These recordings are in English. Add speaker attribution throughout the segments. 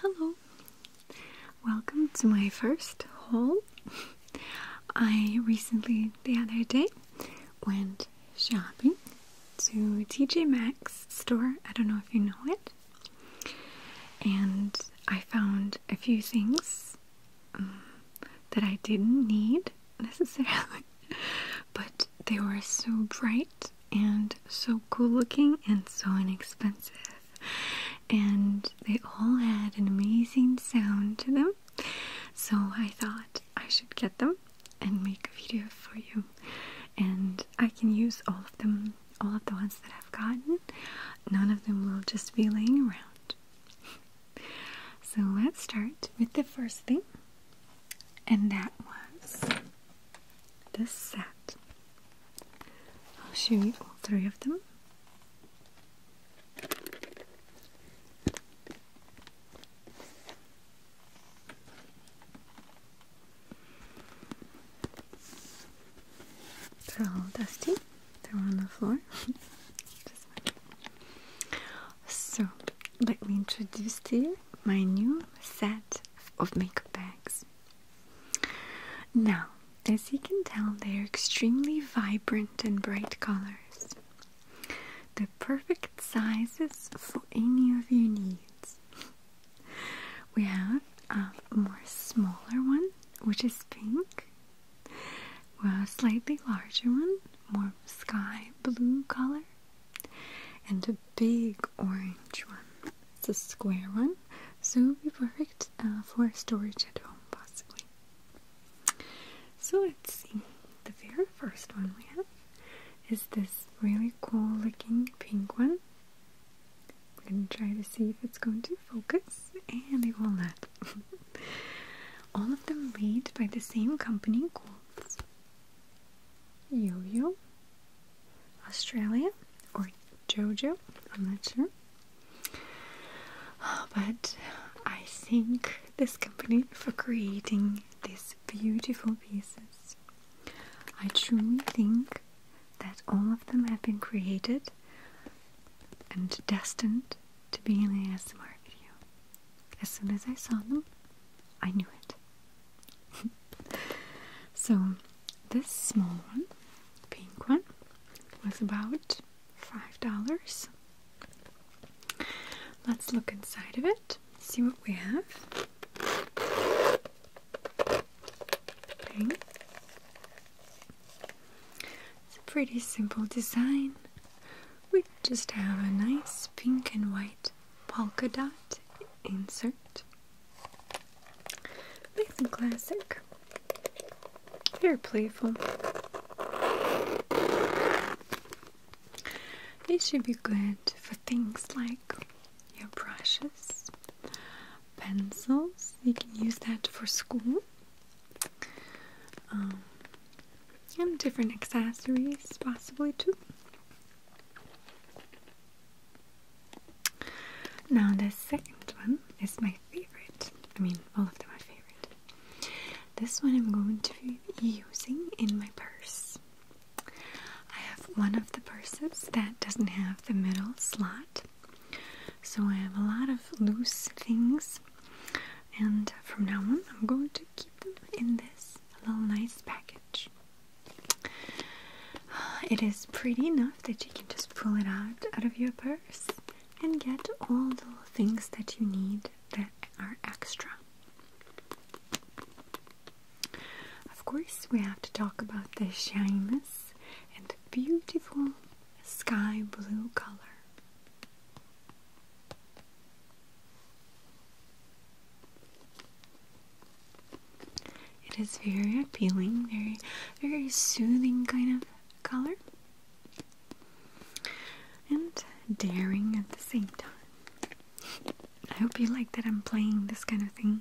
Speaker 1: Hello, welcome to my first haul. I recently, the other day, went shopping to TJ Maxx store. I don't know if you know it. And I found a few things um, that I didn't need necessarily, but they were so bright and so cool looking and so inexpensive. And they all had an amazing sound to them. So I thought I should get them and make a video for you. And I can use all of them, all of the ones that I've gotten. None of them will just be laying around. so let's start with the first thing. And that was the set. I'll show you all three of them. They're all dusty. They're on the floor. so let me introduce to you my new set of makeup bags. Now, as you can tell, they are extremely vibrant and bright colors. The perfect sizes for any of your needs. We have a more smaller one, which is pink. Well, a slightly larger one, more sky blue color and a big orange one. It's a square one, so it would be perfect for storage at home, possibly. So let's see. The very first one we have is this really cool looking pink one. I'm going to try to see if it's going to focus, and it will not. All of them made by the same company called Yo-Yo Australia or Jojo, I'm not sure. Uh, but I think this company for creating these beautiful pieces. I truly think that all of them have been created and destined to be in the ASMR video. As soon as I saw them, I knew it. so this small one, pink one, was about five dollars. Let's look inside of it, see what we have. Pink. It's a pretty simple design. We just have a nice pink and white polka dot insert. Nice and classic. Very playful. These should be good for things like your brushes, pencils. You can use that for school. Um, and different accessories, possibly too. Now, the second one is my favorite. I mean, all of them are favorite. This one I'm going to be using in my purse. I have one of the purses that doesn't have the middle slot, so I have a lot of loose things. And from now on, I'm going to keep them in this little nice package. It is pretty enough that you can just pull it out out of your purse and get all the things that you need that are extra. Of course, we have to talk about the shyness and the beautiful sky blue color. It is very appealing, very, very soothing kind of color, and daring at the same time. I hope you like that I'm playing this kind of thing.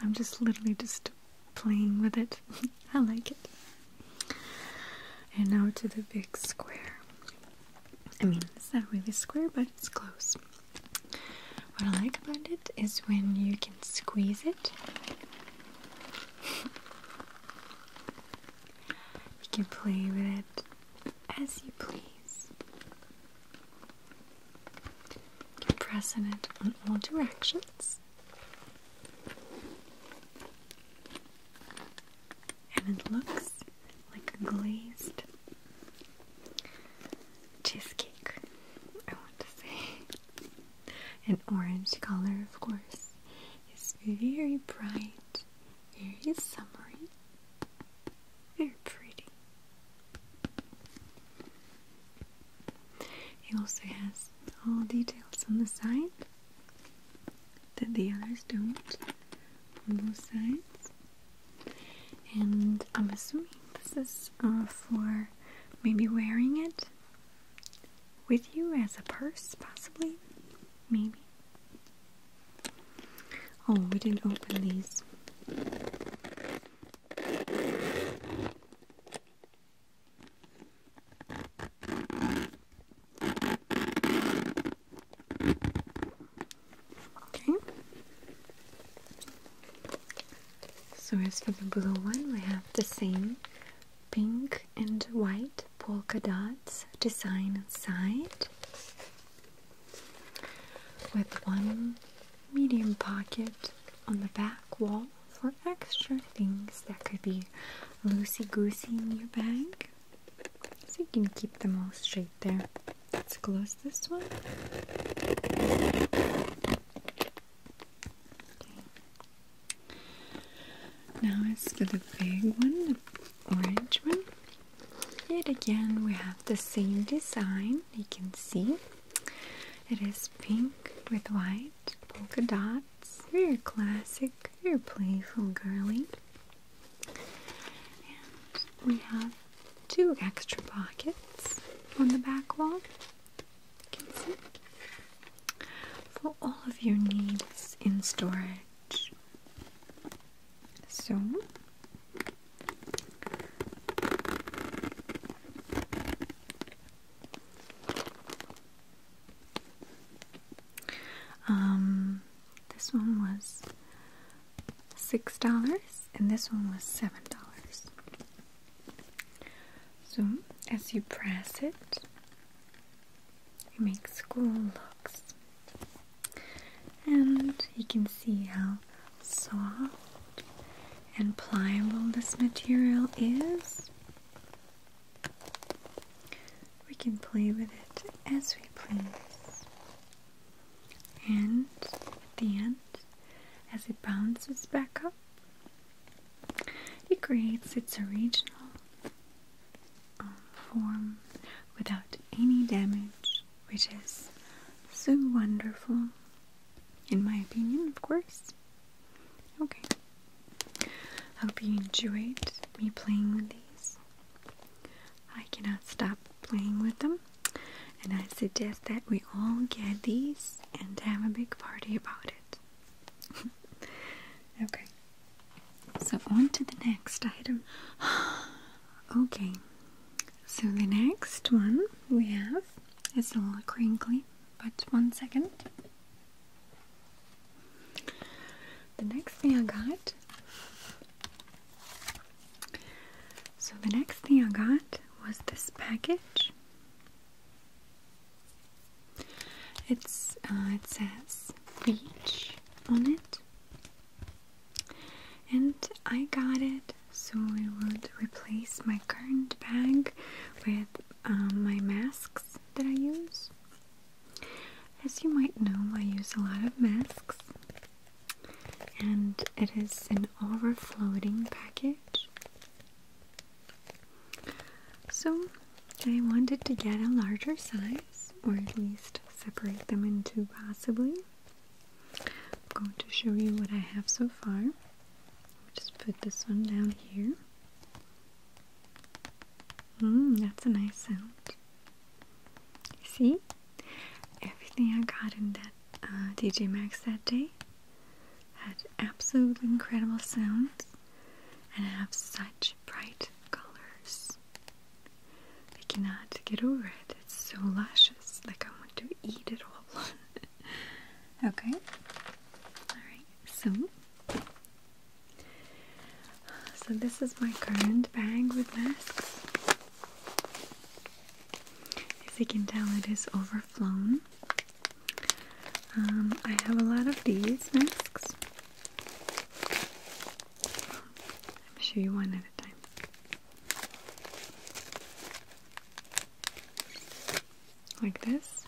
Speaker 1: I'm just literally just playing with it. I like it. And now to the big square. I mean, it's not really square, but it's close. What I like about it is when you can squeeze it. you can play with it as you please. You can press on it on all directions. And it looks like a glazed cheesecake, I want to say. An orange color, of course. It's very bright, very summery, very pretty. It also has all details on the side that the others don't on both sides. And I'm assuming this is uh, for maybe wearing it with you as a purse, possibly. Maybe. Oh, we didn't open these. Okay. So as for the blue one, we have the same pink and white polka dots design inside with one medium pocket on the back wall for extra things that could be loosey-goosey in your bag. So you can keep them all straight there. Let's close this one. Now it's for the big one, the orange one. Yet again, we have the same design. You can see it is pink with white polka dots. Very classic, very playful, girly. And we have two extra pockets on the back wall for all of your needs in storage. So um this one was six dollars and this one was seven dollars so as you press it, it makes cool looks. And you can see how soft and pliable this material is. We can play with it as we please. And at the end, as it bounces back up, it creates its original um, form without any damage, which is so wonderful, in my opinion, of course. Okay. I Hope you enjoyed me playing with these. I cannot stop playing with them and I suggest that we all get these and have a big party about it. okay, so on to the next item. okay, so the next one we have is a little crinkly, but one second. The next thing I got. So the next thing I got was this package it's uh, it says beach on it, and I got it so it would replace my current bag with um, my masks that I use. As you might know, I use a lot of masks, and it is an overflowing package. So I wanted to get a larger size, or at least separate them into possibly. I'm going to show you what I have so far. Just put this one down here. Mmm, that's a nice sound. See? Everything I got in that uh, DJ Maxx that day. Had absolutely incredible sounds and have such bright colors. I cannot get over it. It's so luscious. Like I want to eat it all. okay. Alright, so so this is my current bag with masks. As you can tell, it is overflown. Um, I have a lot of these masks. I'm show you one at a time. Like this.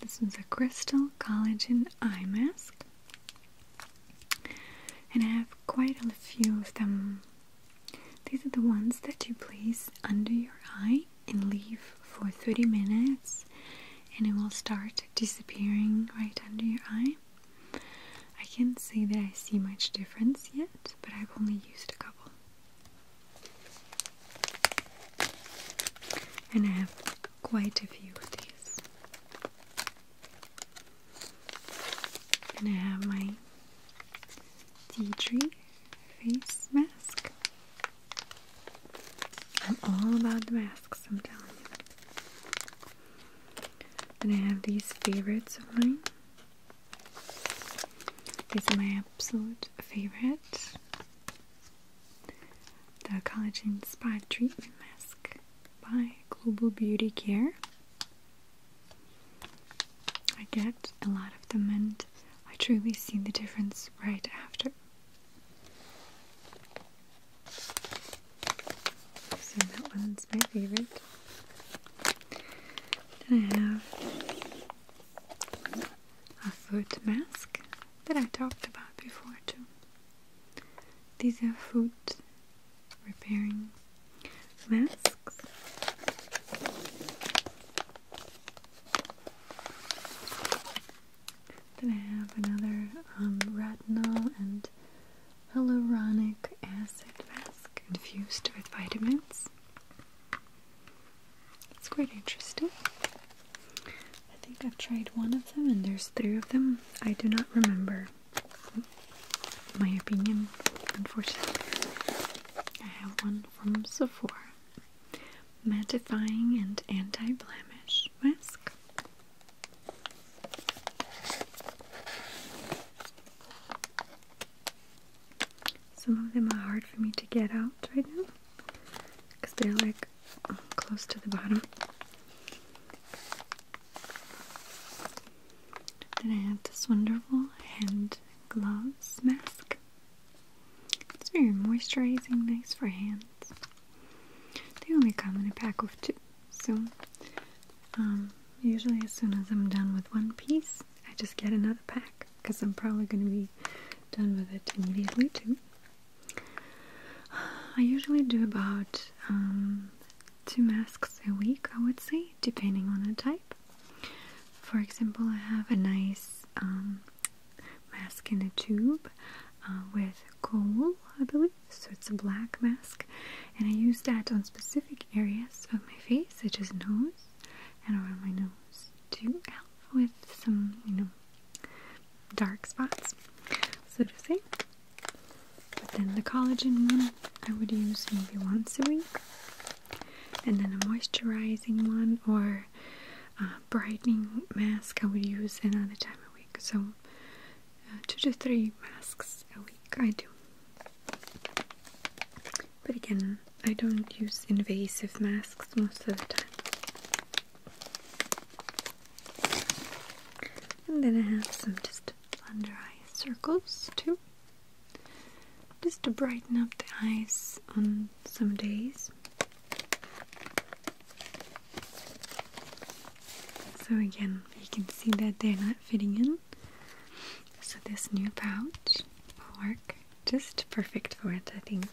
Speaker 1: This is a crystal collagen eye mask. And I have quite a few of them these are the ones that you place under your eye and leave for 30 minutes and it will start disappearing right under your eye. I can't say that I see much difference yet, but I've only used a couple. And I have quite a few of these. And I have my tea tree face mask. I'm all about the masks, I'm telling you. Then I have these favorites of mine. These are my absolute favorites: The Collagen Spa Treatment Mask by Global Beauty Care. I get a lot of them and I truly see the difference right after. So that one's my favorite. Then I have a foot mask that I talked about before too. These are foot repairing masks. Then I have another um, retinol and hyaluronic acid mask infused with vitamins. It's quite interesting. I think I've tried one of them, and there's three of them. I do not remember my opinion, unfortunately. I have one from Sephora Mattifying and Anti-Blemish Mask. Some of them are hard for me to get out right now because they're like close to the bottom. Then I have this wonderful hand gloves mask. It's very moisturizing, nice for hands. They only come in a pack of two, so um, usually as soon as I'm done with one piece, I just get another pack because I'm probably going to be done with it immediately too. I usually do about um, two masks a week, I would say, depending on the type. For example, I have a nice um, mask in a tube uh, with coal, I believe. So it's a black mask, and I use that on specific areas of my face, such as nose and around my nose, to help with some, you know, dark spots, so to say. But then the collagen one I would use maybe once a week and then a moisturizing one or a brightening mask I would use another time a week. So uh, two to three masks a week I do. But again, I don't use invasive masks most of the time. And then I have some just under eye circles too just to brighten up the eyes on some days. So again, you can see that they're not fitting in. So this new pouch will work just perfect for it, I think.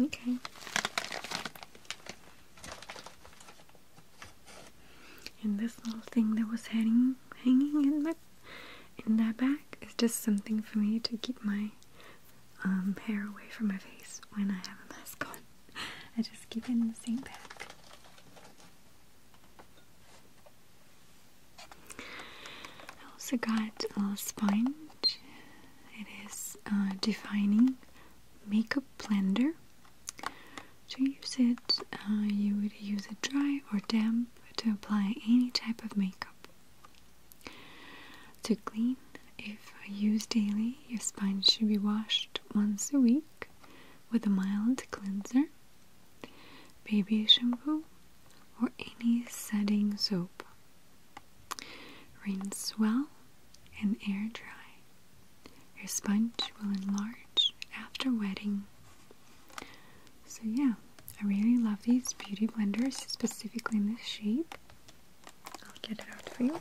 Speaker 1: Okay. And this little thing that was hanging hanging in my in that bag is just something for me to keep my um, hair away from my face when I have a mask on. I just keep it in the same bag. I also got a sponge. It is a uh, defining makeup blender. To use it, you would use it dry or damp to apply any type of makeup. To clean, if used daily, your sponge should be washed once a week with a mild cleanser, baby shampoo, or any setting soap. Rinse well and air dry. Your sponge will enlarge after wetting so yeah, I really love these beauty blenders, specifically in this shape. I'll get it out for you.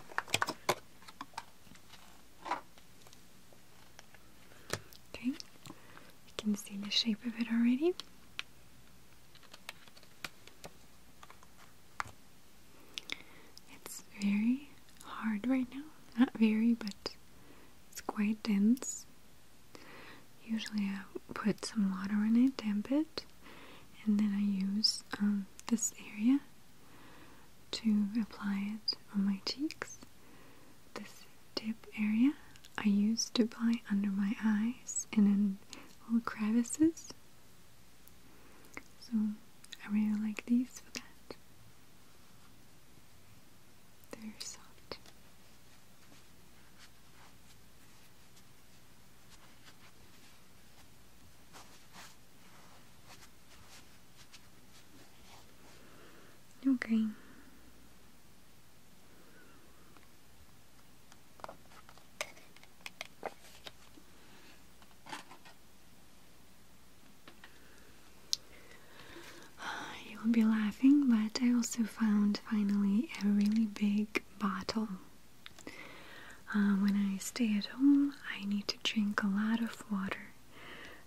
Speaker 1: Okay, you can see the shape of it already. It's very hard right now. Not very, but it's quite dense. Usually I put some water in it, damp it, and then I use um, this area to apply it on my cheeks. This tip area I use to apply under my eyes and in little crevices. So I really like these for that. They're soft. Okay. Uh, you will be laughing, but I also found finally a really big bottle. Uh, when I stay at home, I need to drink a lot of water,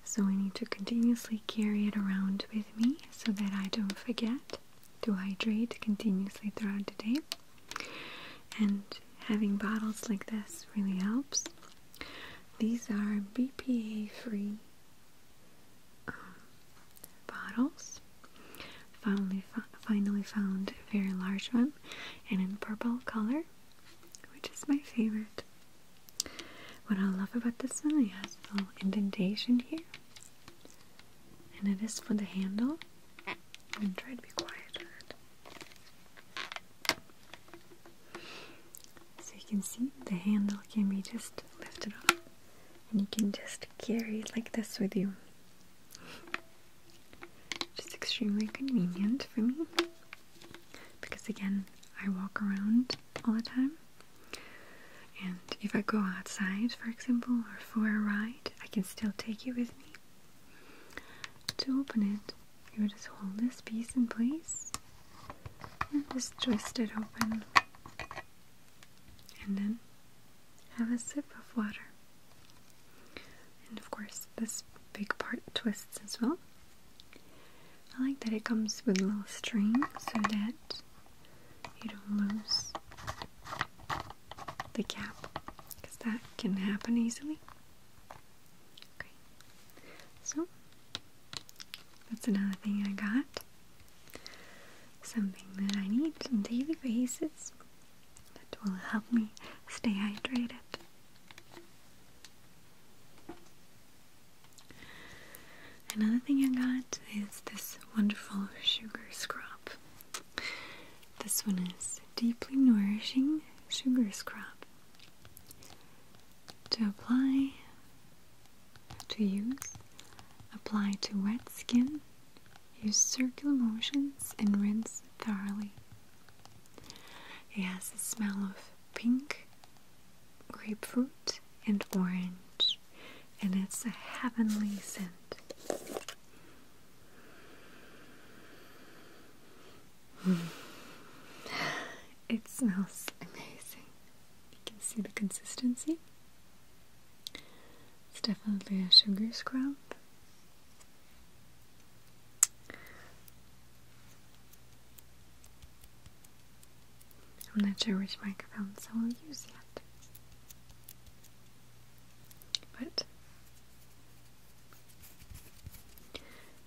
Speaker 1: so I need to continuously carry it around with me so that I don't forget to hydrate continuously throughout the day. And having bottles like this really helps. These are BPA free bottles. Finally, finally found a very large one, and in purple color, which is my favorite. What I love about this one, it has a little indentation here, and it is for the handle. I'm going to be quiet. So you can see the handle can be just lifted off and you can just carry it like this with you. Just extremely convenient for me because again, I walk around all the time. And if I go outside, for example, or for a ride, I can still take it with me. To open it, you would just hold this piece in place just twist it open and then have a sip of water. And of course, this big part twists as well. I like that it comes with a little string so that you don't lose the cap because that can happen easily. Okay, so that's another thing I got. Something that I need some baby faces that will help me stay hydrated. Another thing I got is this wonderful sugar scrub. This one is deeply nourishing sugar scrub. To apply to use. Apply to wet skin. Use circular motions and rinse thoroughly. It has a smell of pink, grapefruit, and orange, and it's a heavenly scent. Hmm. It smells amazing. You can see the consistency. It's definitely a sugar scrub. I'm not sure which microphones I will use yet. But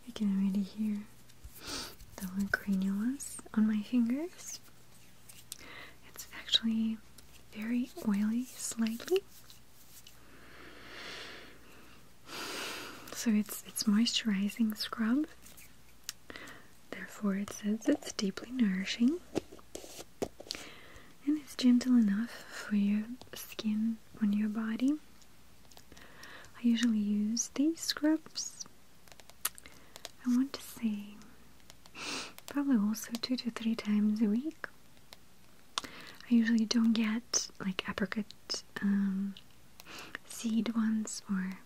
Speaker 1: you can already hear the granules on my fingers. It's actually very oily, slightly. So it's it's moisturizing scrub. Therefore, it says it's deeply nourishing and it's gentle enough for your skin on your body. I usually use these scrubs I want to say probably also two to three times a week. I usually don't get like apricot um, seed ones or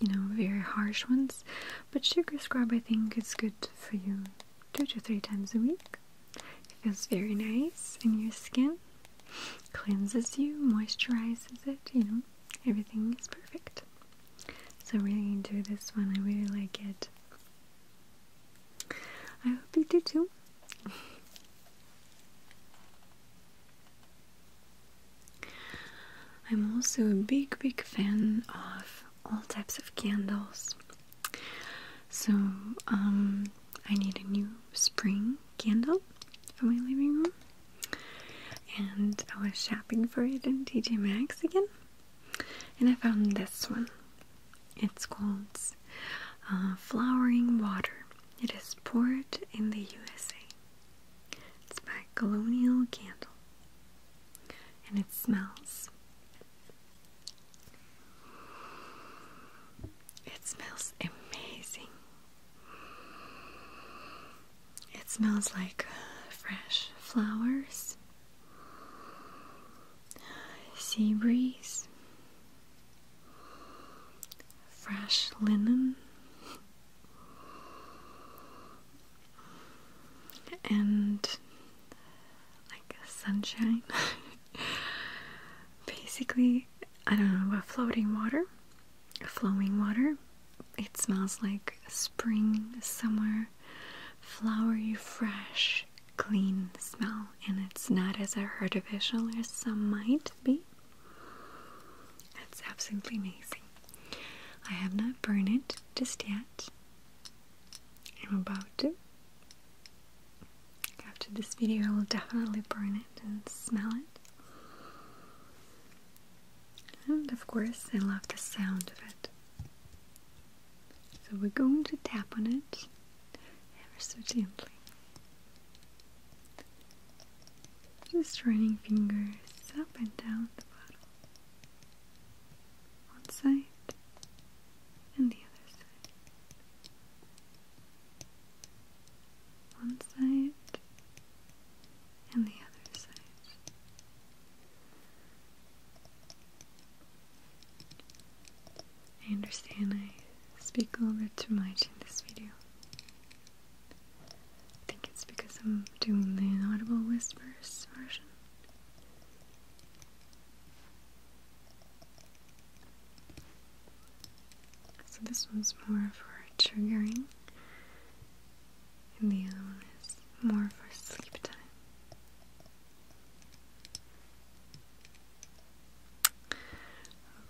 Speaker 1: you know very harsh ones, but sugar scrub I think is good for you two to three times a week. It feels very nice in your skin, cleanses you, moisturizes it, you know everything is perfect. So we're gonna do this one. I really like it. I hope you do too. I'm also a big, big fan of all types of candles. So, um, I need a new spring candle for my living room. And I was shopping for it in TJ Maxx again. And I found this one. It's called uh, Flowering Water. It is poured in the USA. It's by Colonial Candle. And it smells. It smells amazing. It smells like uh, fresh flowers, sea breeze, fresh linen, and like sunshine. Basically, I don't know, about floating water flowing water. It smells like spring, summer, flowery, fresh, clean smell, and it's not as artificial as some might be. That's absolutely amazing. I have not burned it just yet. I'm about to. After this video, I will definitely burn it and smell it. And of course, I love the sound of it. So we're going to tap on it ever so gently. Just running fingers up and down the bottle. One side and the other side. One side and the other side. I understand I speak a little bit too much in this video. I think it's because I'm doing the inaudible whispers version. So this one's more for triggering and the other one is more for sleep time.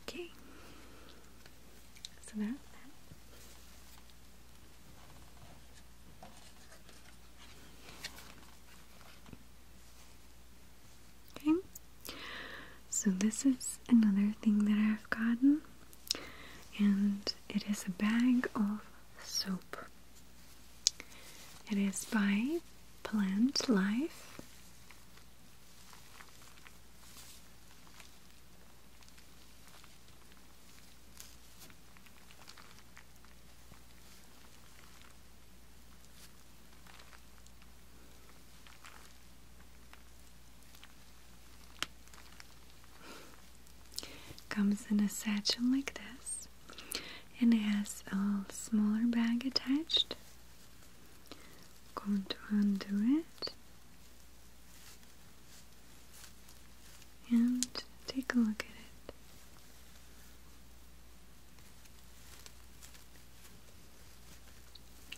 Speaker 1: Okay, so that. Okay, so this is another thing that I've gotten, and it is a bag of soap. It is by Plant Life. Comes in a satchel like this, and it has a smaller bag attached. Going to undo it and take a look at it.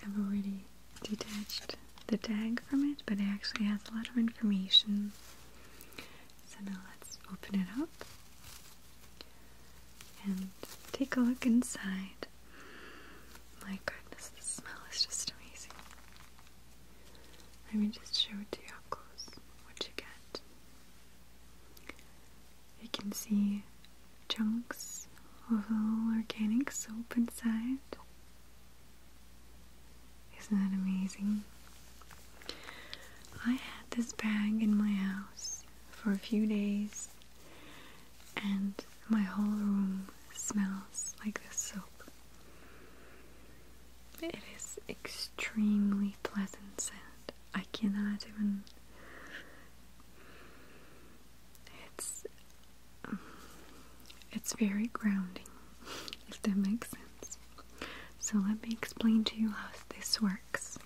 Speaker 1: I've already detached the tag from it, but it actually has a lot of information. So now let's open it up and take a look inside. My goodness, the smell is just amazing. Let me just show it to you up close what you get. You can see chunks of organic soap inside. Isn't that amazing? I had this bag in my house for a few days, and my whole room smells like this soap. It is extremely pleasant scent. I cannot even. It's. it's very grounding, if that makes sense. So let me explain to you how this works.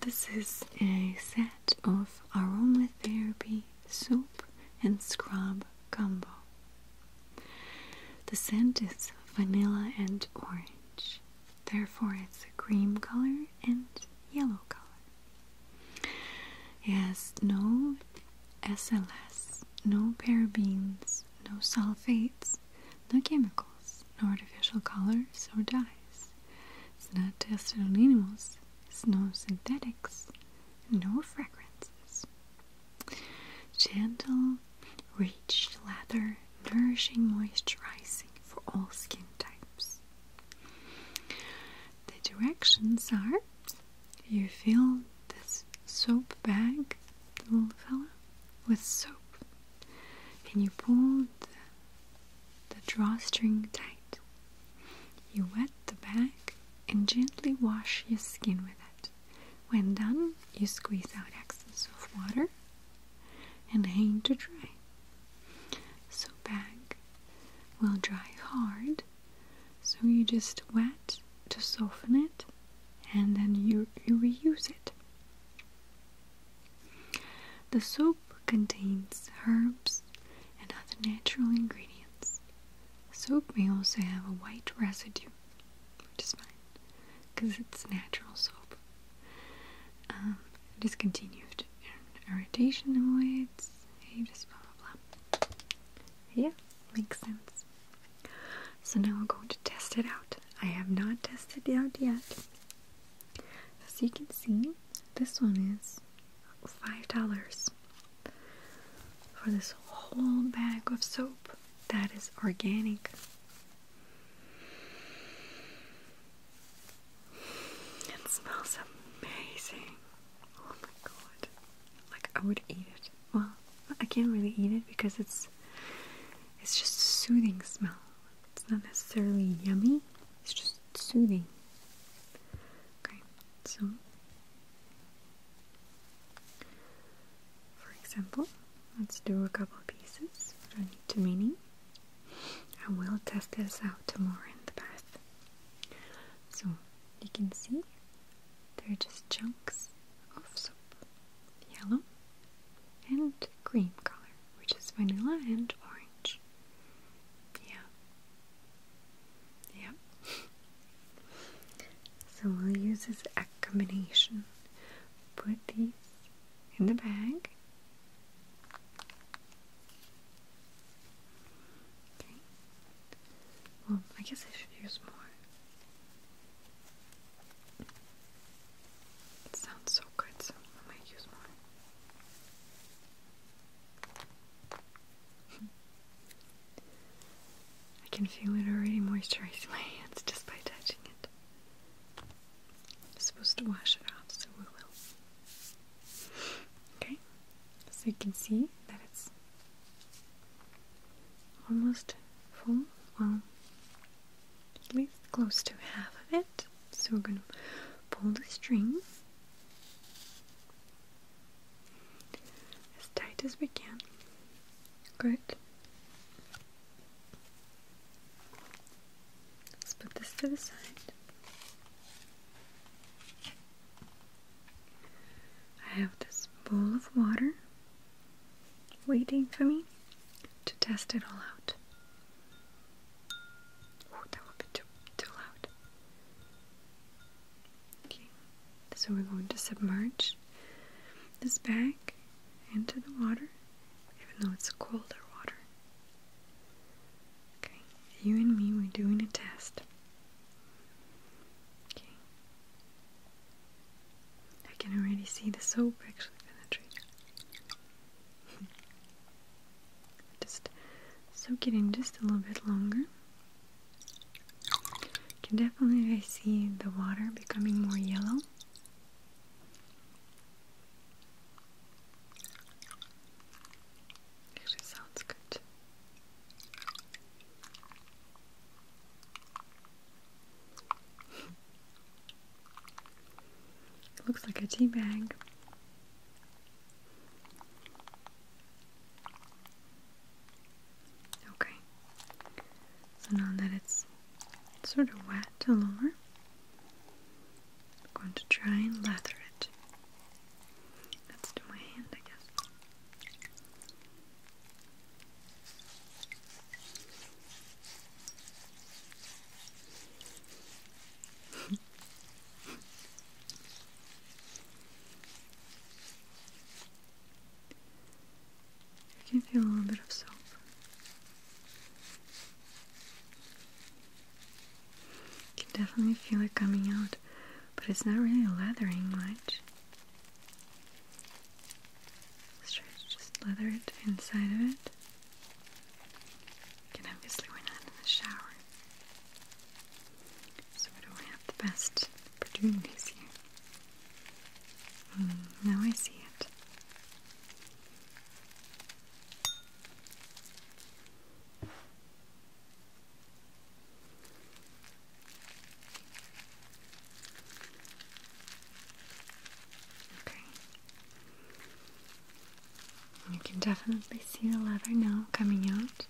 Speaker 1: This is a set of aromatherapy soap and scrub combo. The scent is vanilla and orange, therefore, it's a cream color and yellow color. It has no SLS no parabens, no sulfates, no chemicals, no artificial colors or dyes. It's not tested on animals, it's no synthetics, no fragrances. Gentle, rich lather, nourishing, moisturizing for all skin types. The directions are you fill this soap bag, little fella, with soap, and you pull the, the drawstring tight. You wet the bag and gently wash your skin with it. When done, you squeeze out excess of water and hang to dry. So bag will dry hard so you just wet to soften it and then you, you reuse it. The soap contains herbs and other natural ingredients. Soap may also have a white residue, which is fine because it's natural soap. Um, discontinued irritation avoids, ages, blah blah blah. Yeah, makes sense. So now I'm going to test it out. I have not tested it out yet. As you can see, this one is $5 for this whole bag of soap that is organic. It smells amazing. Oh my god. Like I would eat it well, I can't really eat it because it's it's just a soothing smell. It's not necessarily yummy, it's just soothing. Okay, so for example, let's do a couple pieces I need to mini. I will test this out tomorrow in the bath. So you can see they're just chunks of soap, yellow and cream color, which is vanilla and orange. Yeah. Yeah. so we'll use this combination. Put these in the bag. Okay. Well, I guess I should use more. It sounds so good, so I might use more. I can feel it already moisturizing my hands just by touching it. i supposed to wash it off, so we will. Okay, so you can see that it's almost full, well, at least close to half of it. So we're going to pull the string as tight as we can. Good. Let's put this to the side. I have this bowl of water waiting for me to test it all out. Oh, that would be too, too loud. Okay, so we're going to submerge this bag into the water, even though it's colder water. Okay, you and me, we're doing a test. Okay, I can already see the soap actually penetrating. just soak it in just a little bit longer. I can definitely see the water becoming more yellow. Actually sounds good looks like a tea bag. Okay, so now that it's sort of wet all over, I'm going to try and lather it. Let's my hand, I guess you can feel a little bit of soap. You can definitely feel it coming out, but it's not really leathering much. Let's try to just leather it inside of it. Again, obviously we're not in the shower. So we don't have the best opportunities here. Mm, now I see it. You can definitely see the leather now coming out.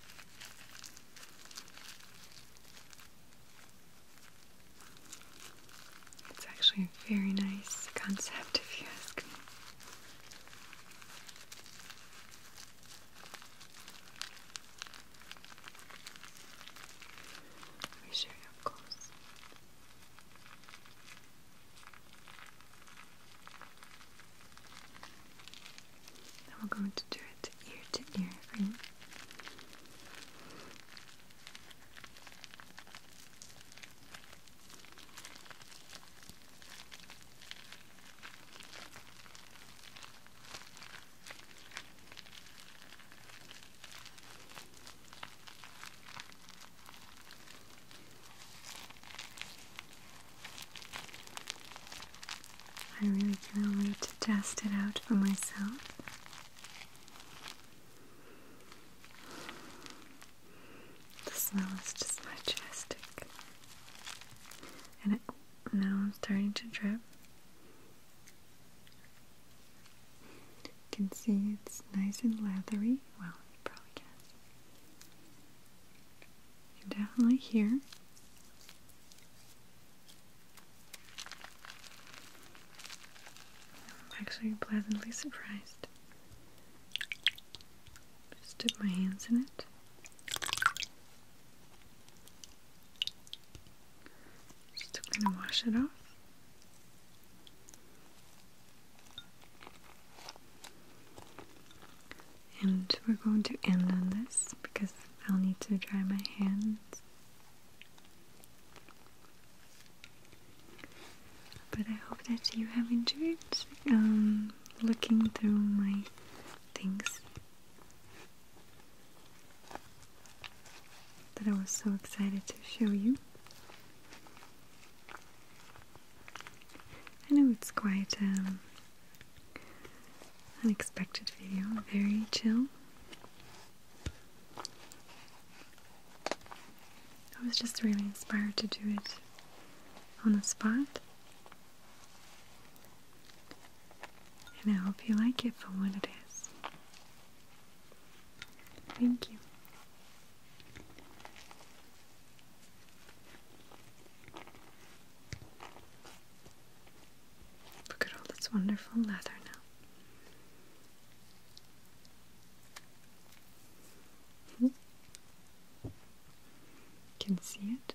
Speaker 1: It's actually a very nice concept, if you ask me. Let me you up close. Now we're going to do it ear to ear for you. I really can't wait to test it out for myself. The smell is just majestic. And it, now i starting to drip. You can see it's nice and leathery. Well, you probably can. You definitely hear. I'm actually pleasantly surprised. Just dip my hands in it. Just going to wash it off. And we're going to end on this because I'll need to dry my hands. But I hope that you have enjoyed um, looking through my things that I was so excited to show you. I know it's quite um, unexpected video, very chill. I was just really inspired to do it on the spot. And I hope you like it for what it is. Thank you. Look at all this wonderful leather now. Hmm. Can see it.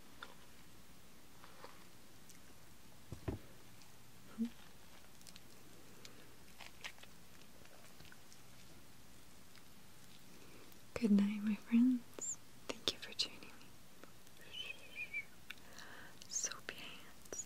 Speaker 1: Good night, my friends. Thank you for joining me. Soapy hands.